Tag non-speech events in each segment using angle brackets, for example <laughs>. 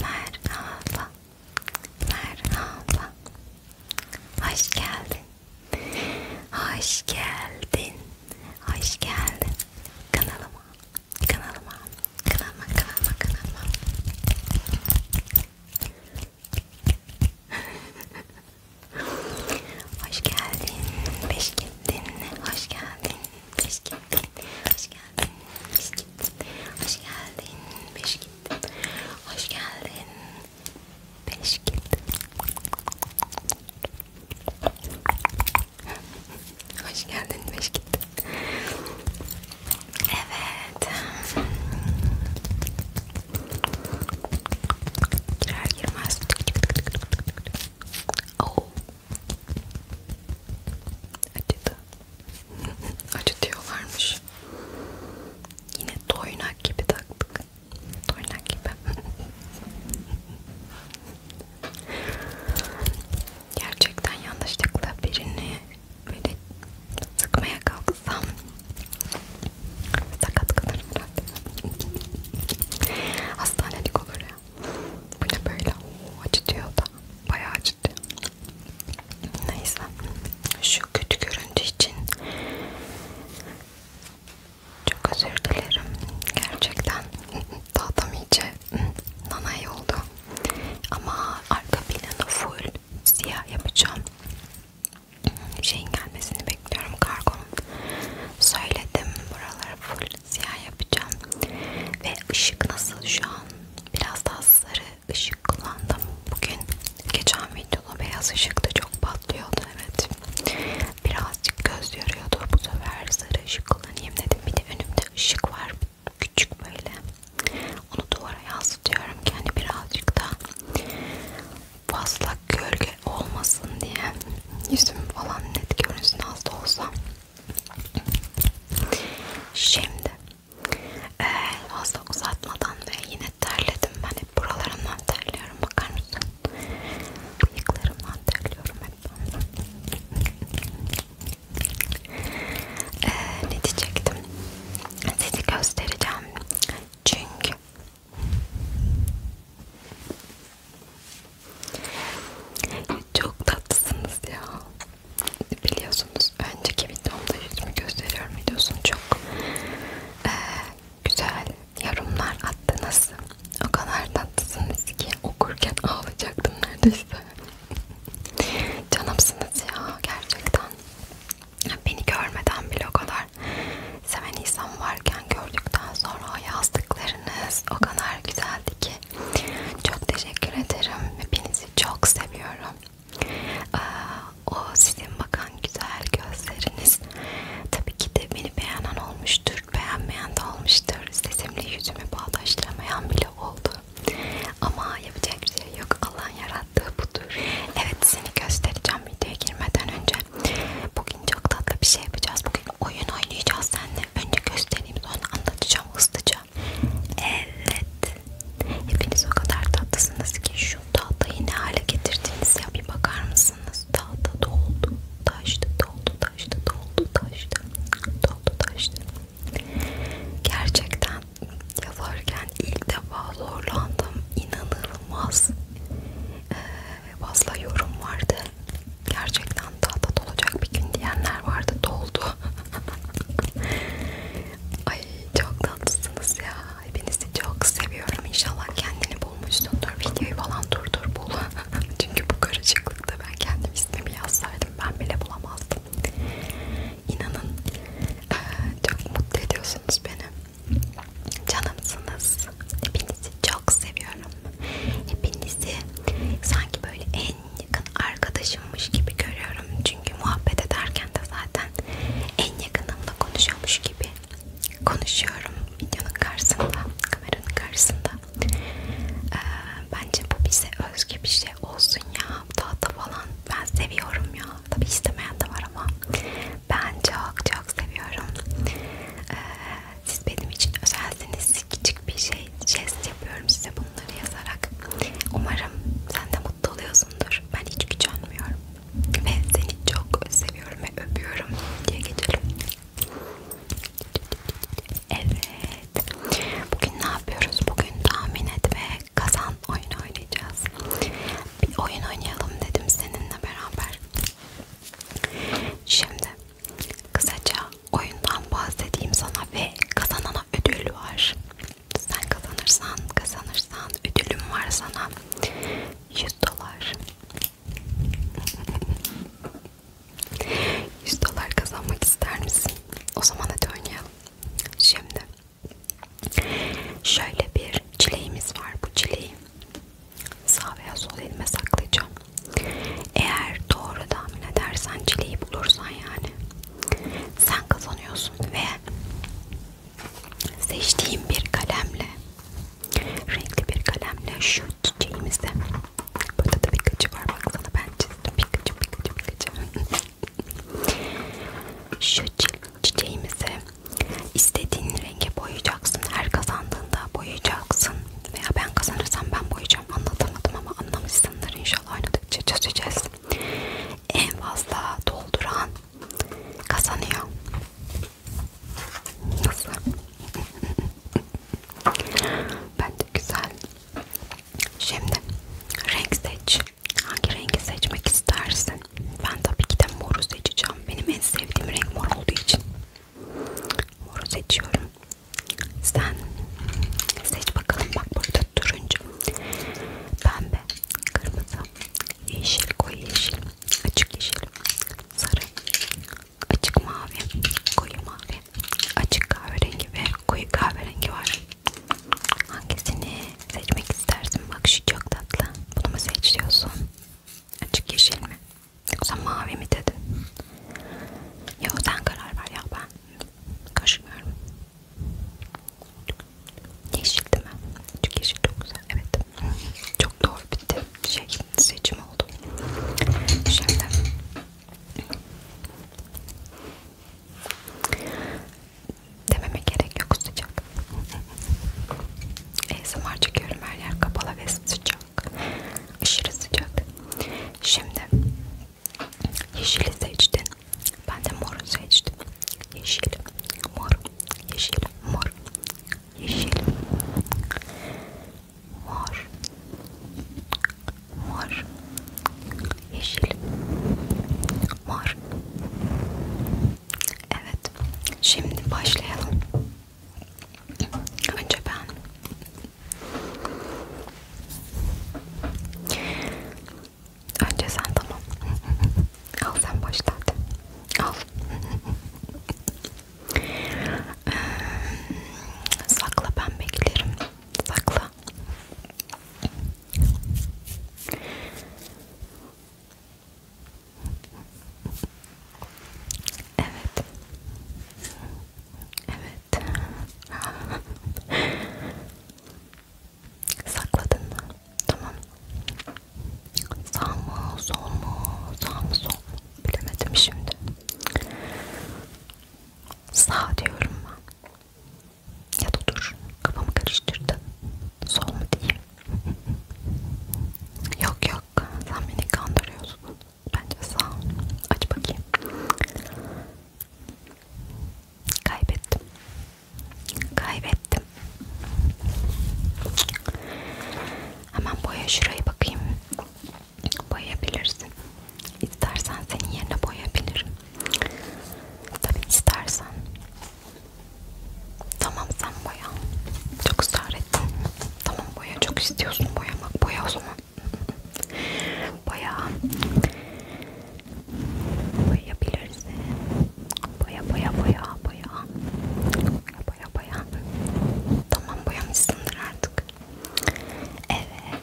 Merhaba, merhaba. Hoş geldin, hoş geldin, hoş geldin kanalıma, kanalıma, kanalıma, kanalıma, kanalıma. <laughs> hoş geldin, beş gittin, hoş geldin, beş gittin, hoş geldin, beş gittin, hoş geldin, beş gittin, hoş geldin, beş gittin, <laughs> hoş geldin, beş gittin. Evet. Girer girmez. Oh. Acıdı. <laughs> Acıtıyorlarmış. Yine toynak gibi taktık. Toynak gibi. <laughs> Gerçekten yanlışlıkla birini böyle sıkmaya kalksam sakat kalırım herhalde. Hastanelik olur ya. Bu ne böyle? Acıtıyor da. Bayağı acıtıyor. Neyse. Şu kötü görüntü için çok özür dilerim. Gerçekten daha tam iyice nanay oldu. Ama arka planı full siyah yapacağım şeyin gelmesini bekliyorum kargonun söyledim buraları full siyah yapacağım ve ışık nasıl şu an biraz daha sarı ışık kullandım bugün geçen videoda beyaz ışık da çok patlıyordu evet birazcık göz yoruyordu bu sefer sarı ışık kullanayım dedim bir de önümde ışık var küçük böyle onu duvara yansıtıyorum ki hani birazcık da fazla gölge olmasın diye yüzüm falan net görünsün az da olsa şimdi ee, fazla uzatmadan ve yine terledim ben hep buralarımdan terliyorum bakar mısın bıyıklarımdan terliyorum hep ee, ne diyecektim? Sizi göstereceğim. Çünkü çok tatlısınız ya. Biliyorsunuz önceki videomda yüzümü gösteriyorum videosunu çok ee, güzel yorumlar attınız. O kadar tatlısınız ki okurken ağlayacaktım neredeyse. Canımsınız ya gerçekten. Beni görmeden bile o kadar seven insan varken gördükten sonra o yazdıklarınız o kadar güzeldi ki çok teşekkür ederim. Hepinizi çok seviyorum. O sizin bakan güzel gözleriniz tabii ki de beni beğenen olmuştur, beğenmeyen de olmuştur. Sesimle yüzümü bağdaşlamayan bile oldu. Ama yapacak bir şey yok. Allah'ın yarattığı budur. Evet seni göstereceğim videoya girmeden önce. Bugün çok tatlı bir şey yapacağız. Bugün oyun oynayacağız seninle. Önce göstereyim sonra anlatacağım hızlıca. Evet. Hepiniz o kadar tatlısınız ki şu tahtayı ne hale getirdiniz ya bir bakar mısınız? Tahta doldu. Taştı doldu taştı doldu taştı. Doldu taştı. Gerçekten yazarken ilk defa zorlandım. İnanılmaz ee, fazla yorum vardı. Gerçekten tahta dolacak bir gün diyenler vardı. Doldu. <laughs> Ay çok tatlısınız ya. Hepinizi çok seviyorum. İnşallah kendini bulmuşsundur. Videoyu falan durdur bul. <laughs> Çünkü bu karışıklıkta ben kendim ismimi yazsaydım ben bile bulamazdım. İnanın çok mutlu ediyorsunuz beni. Canımsınız. Hepinizi çok seviyorum. Hepinizi sanki böyle en yakın arkadaşımmış gibi görüyorum. Çünkü muhabbet ederken de zaten en yakınımla konuşuyormuş gibi konuşuyorum videonun karşısında, kameranın karşısında. Ee, bence bu bize özgü bir şey olsun ya tahta falan ben seviyorum ya tabi istemeyen de var ama ben çok çok seviyorum ee, siz benim için özelsiniz küçük bir şey jest yapıyorum size bunları yazarak umarım sen de mutlu oluyorsundur ben hiç gücenmiyorum ve seni çok seviyorum ve öpüyorum diye geçelim evet Evet. Bugün ne yapıyoruz? Bugün tahmin et ve kazan oyunu oynayacağız. Bir oyun oynayalım dedim seninle beraber. Şimdi kısaca oyundan bahsedeyim sana ve kazanana ödül var. Sen kazanırsan kazanırsan ödülüm var sana 100 dolar. 100 <laughs> dolar kazanmak ister misin? O zaman hadi oynayalım. Şimdi şöyle bir çileğimiz var. Bu çileği sağ veya sol elime saklayacağım. Eğer doğru tahmin edersen çileği bulursan yani sen kazanıyorsun ve seçtiğim bir kalemle renkli bir kalemle şu çiçeğimizde burada da bir kaçı var baksana ben ben çizdim. Pikachu, Pikachu, Pikachu. Şu çiçeğimizi istediğin renge boyayacaksın. Her kazandığında boyayacaksın. Veya ben kazanırsam ben boyayacağım. Anlatamadım ama anlamışsındır. İnşallah oynadıkça çözeceğiz. En fazla dolduran kazanıyor. Nasıl? <laughs> Bence güzel Şimdi renk seç. Hangi rengi seçmek istersin? Ben tabii ki de moru seçeceğim. Benim en sevdiğim renk mor olduğu için moru seçiyorum. Sen seç bakalım. Bak burada turuncu, pembe, kırmızı, yeşil, koyu yeşil, açık yeşil, sarı, açık mavi, koyu mavi, açık kahverengi ve koyu kahverengi var. Hangisini seçmek istersin? Bak şu çok tatlı. Bunu mu seçiyorsun? Açık yeşil mi? Yoksa mavi mi dedin? Ya sen karar ver ya ben karışmıyorum. Yeşil değil mi? Açık yeşil çok güzel. Evet. Çok doğru bitti. Şey seçim oldu. Şimdi Dememe gerek yok sıcak. ASMR <laughs> çekiyorum her yer kapalı ve sıcak. Aşırı sıcak. Şimdi yeşili seçtin. Ben de moru seçtim. Yeşil, mor, yeşil, mor, yeşil, mor, mor, yeşil, mor. Evet, şimdi başlayalım. Önce ben. Önce sen tamam. Al sen başla hadi. Al. Ee, sakla ben beklerim. Sakla galiba. Evet. Evet. Sakladın mı? Tamam. Sağ mı, sol mu, sağ mı, sol mu? Bilemedim şimdi. Sağ diyorum ben. Ya da dur kafamı karıştırdın. Sol mu diyeyim? <laughs> yok yok sen beni kandırıyorsun. Bence sağ. Aç bakayım. Kaybettim. Kaybettim. Hemen boya şuraya bakayım boyayabilirsin. İstersen senin yerine boyayabilirim. Tabii istersen. Tamam sen boya. Çok ısrar ettin. Tamam boya. Çok istiyorsun boyamak. Boya o zaman. Boya. Boyayabilirsin. Boya boya boya boya. Boya boya boya. Tamam boyamışsındır artık. Evet.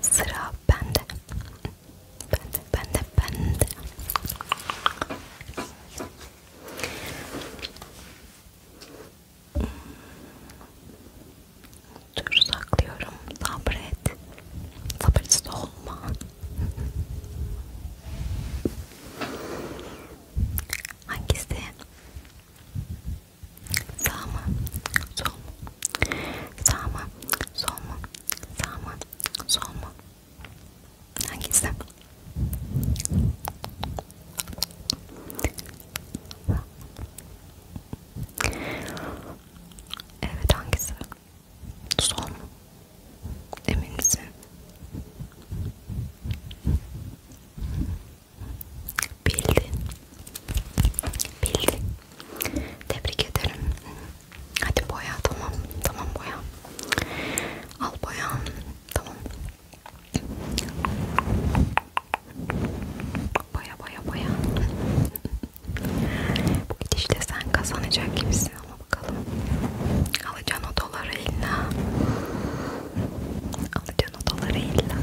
Sıra bende. Bende, bende, bende. Hmm. Dur saklıyorum. Sabret. Sabırcısı olma. Hangisi? Sağ mı? Sol mu? Sağ mı? Sol mu? Sağ mı? Sol mu? Hangisi? Evet hangisi? Sol mu? Emin misin? Bildin. Bildin. Tebrik ederim. Hadi boya tamam. Tamam boya. Al boya. Tamam. Boya boya boya. Bu gidişle sen kazanacak gibisin ama bakalım. Alacaksın o doları illa. Alacaksın o doları illa.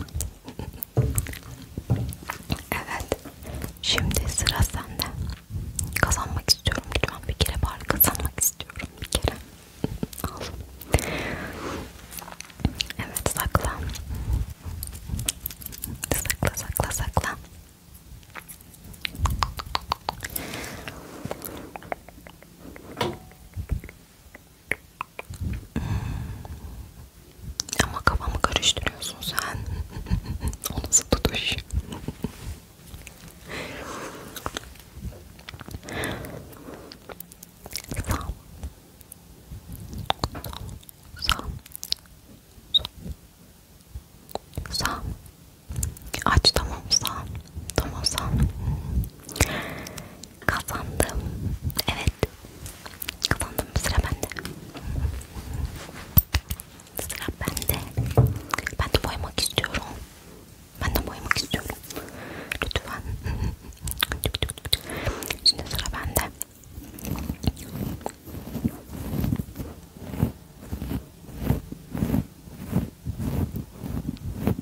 Evet. Şimdi sıra sende. Kazanmak istiyorum lütfen bir kere bari kazanmak istiyorum bir kere. Al. Evet sakla. Sakla sakla sakla. Ama kafamı karıştırıyorsun sen. <laughs> o nasıl tutuş? Sağ. Sağ. Sağ. Sağ. Aç tamam sağ. Tamam sağ. Kazandım. Evet. Kazandım. Sıra bende. Sıra bende. Ben de boyamak istiyorum. Ben de boyamak istiyorum. Lütfen. Şimdi sıra bende.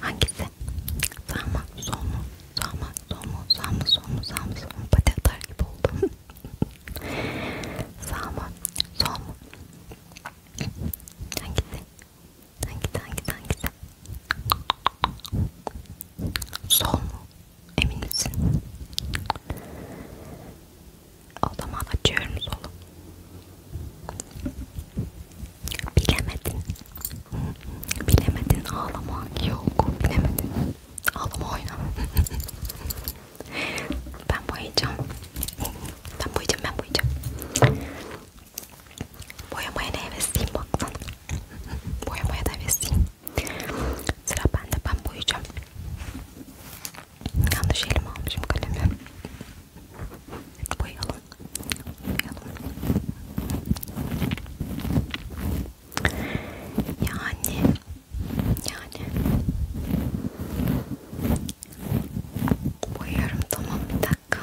Hangisi? Sağ mı? Sol mu? Sağ mı? Sol mu? Sağ mı? Sol mu? Sağ mı? Sol mu? Pati atar gibi oldum. <laughs> Sağ mı? Sol mu? Hangisi? Hangisi? Hangisi? Hangisi? Sol mu? Emin misin? O zaman açıyorum solu. Bilemedin. Bilemedin ağlama. Yok bilemedin. Ağlama oyna. <laughs> ben boyayacağım. Ben boyayacağım ben boyayacağım. Boyamaya ne hevesliyim baktın. Boyamaya da hevesliyim. Sıra bende ben boyayacağım. Yanlış elim almışım kalemi. Wait, hold on. Wait, hold on. Yani. Yani. Boyuyorum tamam bir dakika.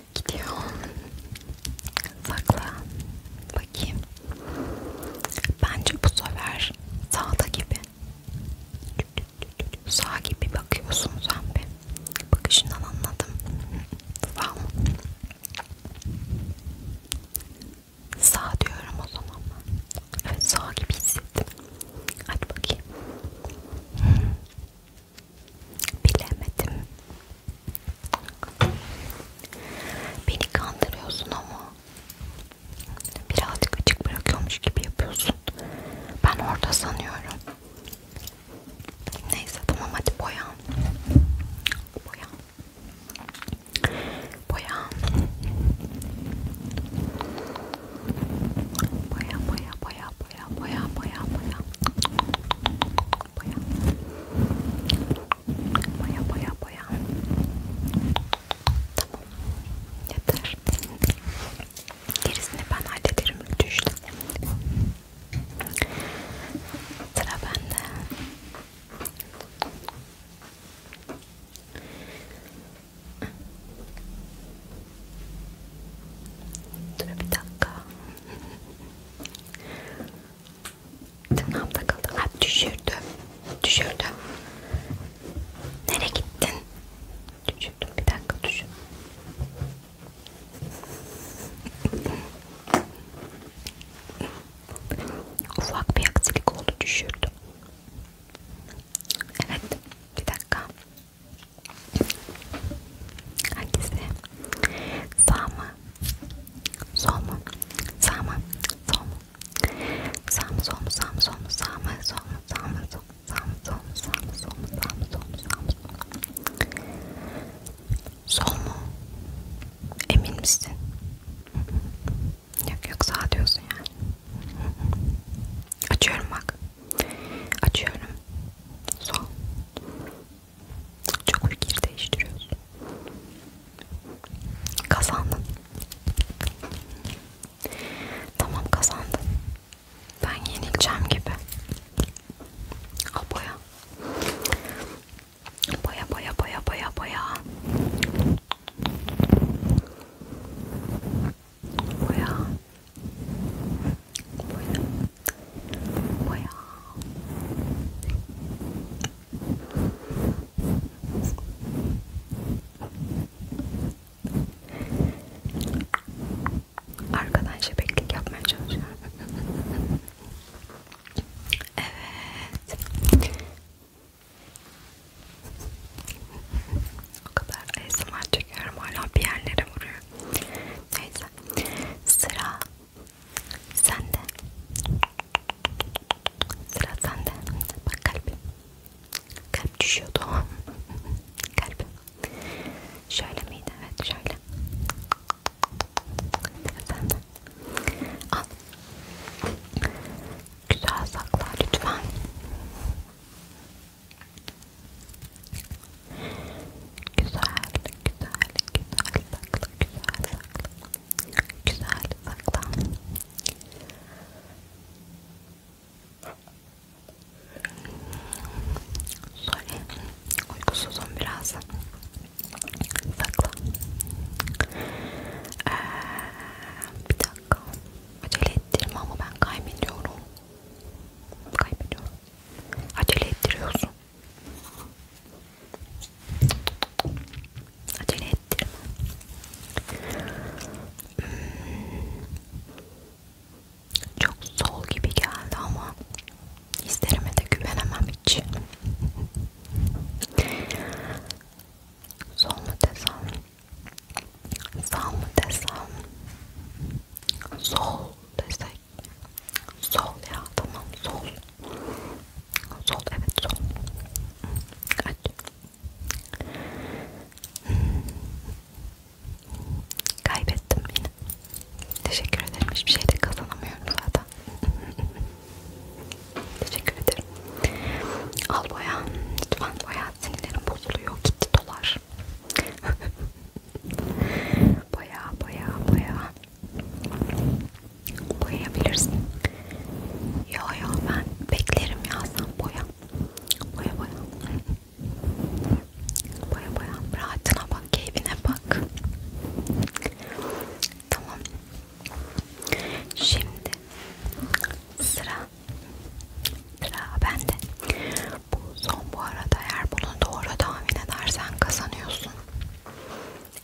Gidiyor. Sakla. Bakayım. Bence bu sefer sağda gibi. Sağ gibi bakıyorsun sen be. Bakışından anladım. Sağ mı? Sağ diyorum o zaman. Evet sağ gibi hissettim. Hadi bakayım. Bilemedim. Beni kandırıyorsun ama birazcık açık bırakıyormuş gibi yapıyorsun. Ben orada sanıyorum. Neyse tamam hadi boya. Boya. Boya. Boya boya boya boya boya boya boya boya boya boya boya boya tamam yeter gerisini ben hallederim düştü sıra bende Dur bir dakika. Tırnağım takıldı. Ha düşürdüm. Düşürdüm. Nereye gittin? Düşürdüm. Bir dakika düşün. Ufak bir aksilik oldu düşürdüm. Evet. Bir dakika. Hangisi? Sağ mı? Sol mu? Sağ mı? Sol mu? Sağ mı? Sol mu? Sağ mı? Sol mu? Sağ mı? Sol mu? Sağ mı? Sol mu? Sağ mı? Sol mu? Sağ mı? Sol mu? Sağ mı? Sol mu? Sağ mı? Sol mu? Emin misin? Yok yok sağ diyorsun yani. Açıyorum bak. Açıyorum. Sol. Çok fikir değiştiriyoruz. Kazandın. Tamam kazandın. Ben yenileceğim gibi. Al boya. Boya boya boya boya boya boya boya boya Arkadan şebeklik yapmaya çalışıyorum. evet. O kadar ASMR çekiyorum hala bir yerlere vuruyor. Neyse. Sıra sende. Sıra sende. Bak kalbim. Kalp düşüyordu. <laughs> kalbim. Şöyle miydi? Evet şöyle. Sıra sende. Al. Güzel sakla lütfen. Güzel, güzel, güzel sakla, güzel sakla. Güzel sakla. Sorry, uykusuzum biraz. Sakla. Ee, bir dakika. Acele ettirme ama ben kaybediyorum. Kaybediyorum. Acele ettiriyorsun. Acele ettirme. Hmm. Çok sol gibi geldi ama hislerime de güvenemem hiç. Sol mu desem? Sağ mı desem? Sol desek. Sol ya tamam sol. Sol evet sol. Aç. Kaybettim yine. Teşekkür ederim. Hiçbir şey de kazanamıyorum zaten. Teşekkür ederim. Al boya. Lütfen boya. Sinirlerim bozuluyor. Gitti dolar baya baya baya boyayabilirsin. Ya ya ben beklerim ya sen boya. Boya boya. Boya boya. Rahatına bak, keyfine bak. Tamam. Şimdi sıra sıra bende bu son bu arada eğer bunu doğru tahmin edersen kazanıyorsun.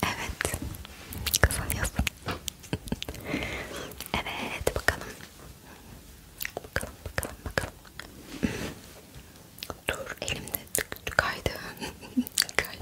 Evet kazanıyorsun. <laughs> evet bakalım. Bakalım bakalım bakalım. <laughs> Dur elimde tık tık kaydı. <laughs> kaydı.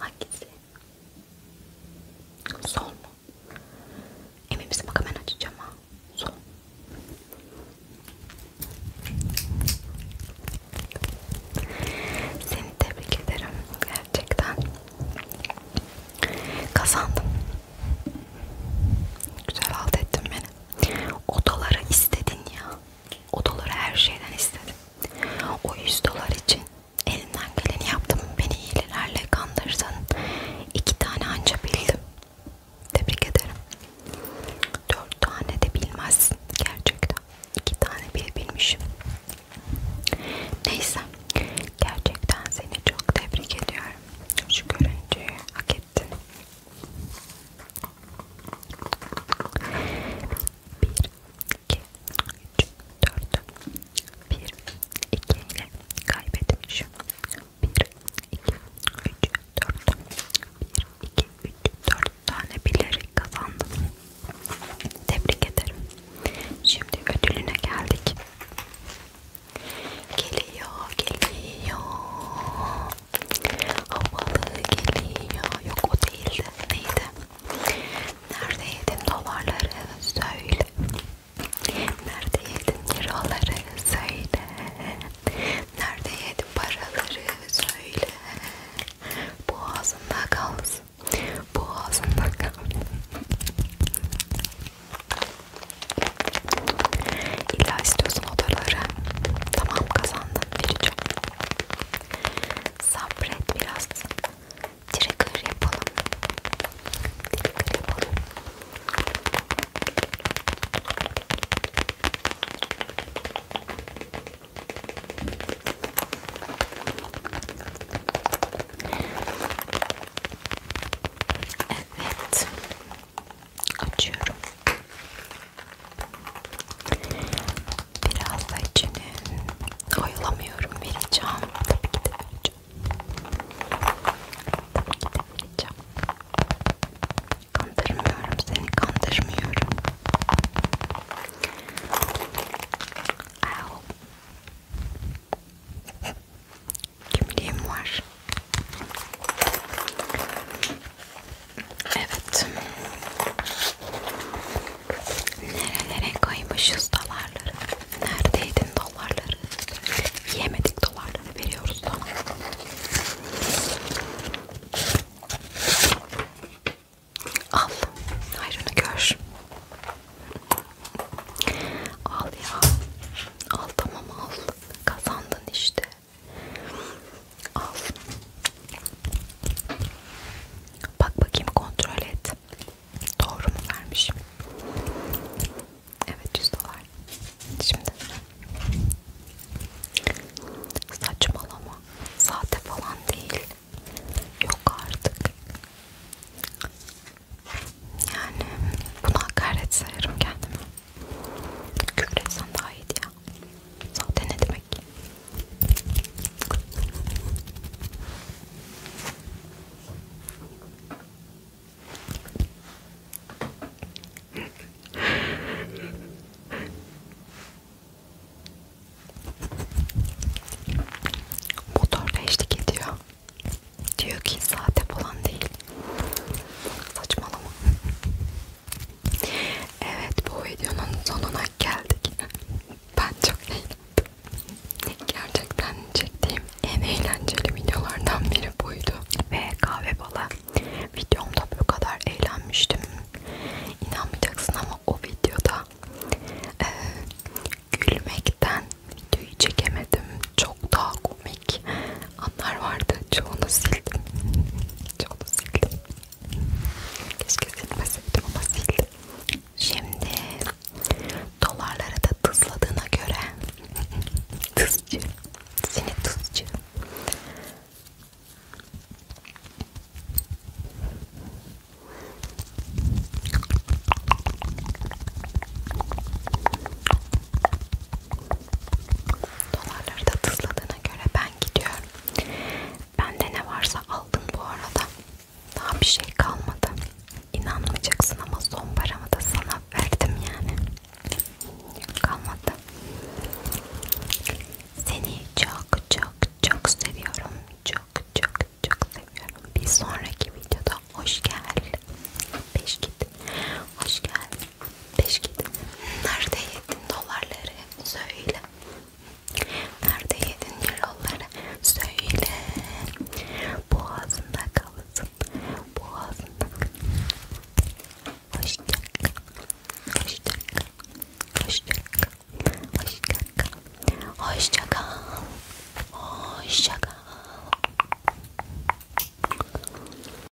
Hangisi? Sol mu? Emin misin? Bak hemen açacağım ha. Sol. Seni tebrik ederim. Gerçekten. Kazandım. Güzel halt ettin beni. Odalara istedin ya. O doları her şeyden istedim. O 100 dolar için elimden geleni yaptım. Beni iyilerle kandırdın. İki tane anca bildim. Tebrik ederim. Dört tane de bilmezsin gerçekten. İki tane bile bilmişim. Neyse. Gerçekten seni çok tebrik ediyorum. Şu görüntüyü hak ettin. 1 2 3 4 1 2 ile kaybetmişim 1 2 3 4 1 2 3 4 tane bilerek kazandım. Tebrik ederim. Şimdi ödülüne geldik. Geliyor, geliyor. Havalı geliyor. Yok o değildi. Neydi? Nerede yedin dolarları söyle. Nerede yedin liraları söyle. Nerede yedin paraları söyle. Boğazında kalsın. Boğazında kalsın. İlla istiyorsun odaları. Tamam kazan anlam vereceğim. Sabret biraz. Trigger yapalım. Trigger yapalım. Evet açıyorum. Biraz da içini oyalamıyorum vereceğim. Tabii ki de vereceğim. Tabii ki de vereceğim. Kandırmıyorum seni, kandırmıyorum. Au. Kimliğim var. Evet. Nerelere koymuşuz dolarları? Neredeydin dolarları? Yemedik dolarları veriyoruz sana. Al. Hayrını gör. Al ya. Al tamam al. Kazandın işte. Al. Bak bakayım kontrol et. Doğru mu vermişim? Evet 100 dolar. Şimdi saçmalama. Sahte falan değil. Yok artık. Yani buna hakaret sayarım kendime. Küfür etsen daha iyiydi ya. Zaten ne demek? Motorda eşlik ediyor. Diyor ki saate falan değil. Saçmalama. Evet bu videonun sonuna geldik. <laughs> Ben çok eğlendim. Gerçekten çektiğim en eğlenceli videolardan biri buydu. Ve kahve bala videomda bu kadar eğlenmiştim. İnanmayacaksın ama o videoda e, gülmekten videoyu çekemedim. Çok daha komik anlar vardı. Çoğunu sildim. Çoğunu sildim. Keşke silmeseydim ama sildim. Şimdi dolarlara da tızladığına göre <laughs> tızcı. Seni tızcı. Dolarları da tızladığına göre ben gidiyorum. Bende ne varsa aldın bu arada. Daha bir şey kalmadı. İnanmayacaksın ama son paramı da sana verdim yani. Kalmadı. Seni çok çok çok seviyorum. Çok çok çok seviyorum. Bir sonraki videoda hoş gel. Beş git. Hoş geldin. Beş git. Nerede yedin dolarları? Söyle. Nerede yedin euroları? Söyle. Boğazında kalsın. Boğazında. Hoşça kal. Hoşça kal. Hoşça kal. Hoşça kal. Hoşça kal. Hoşça kal.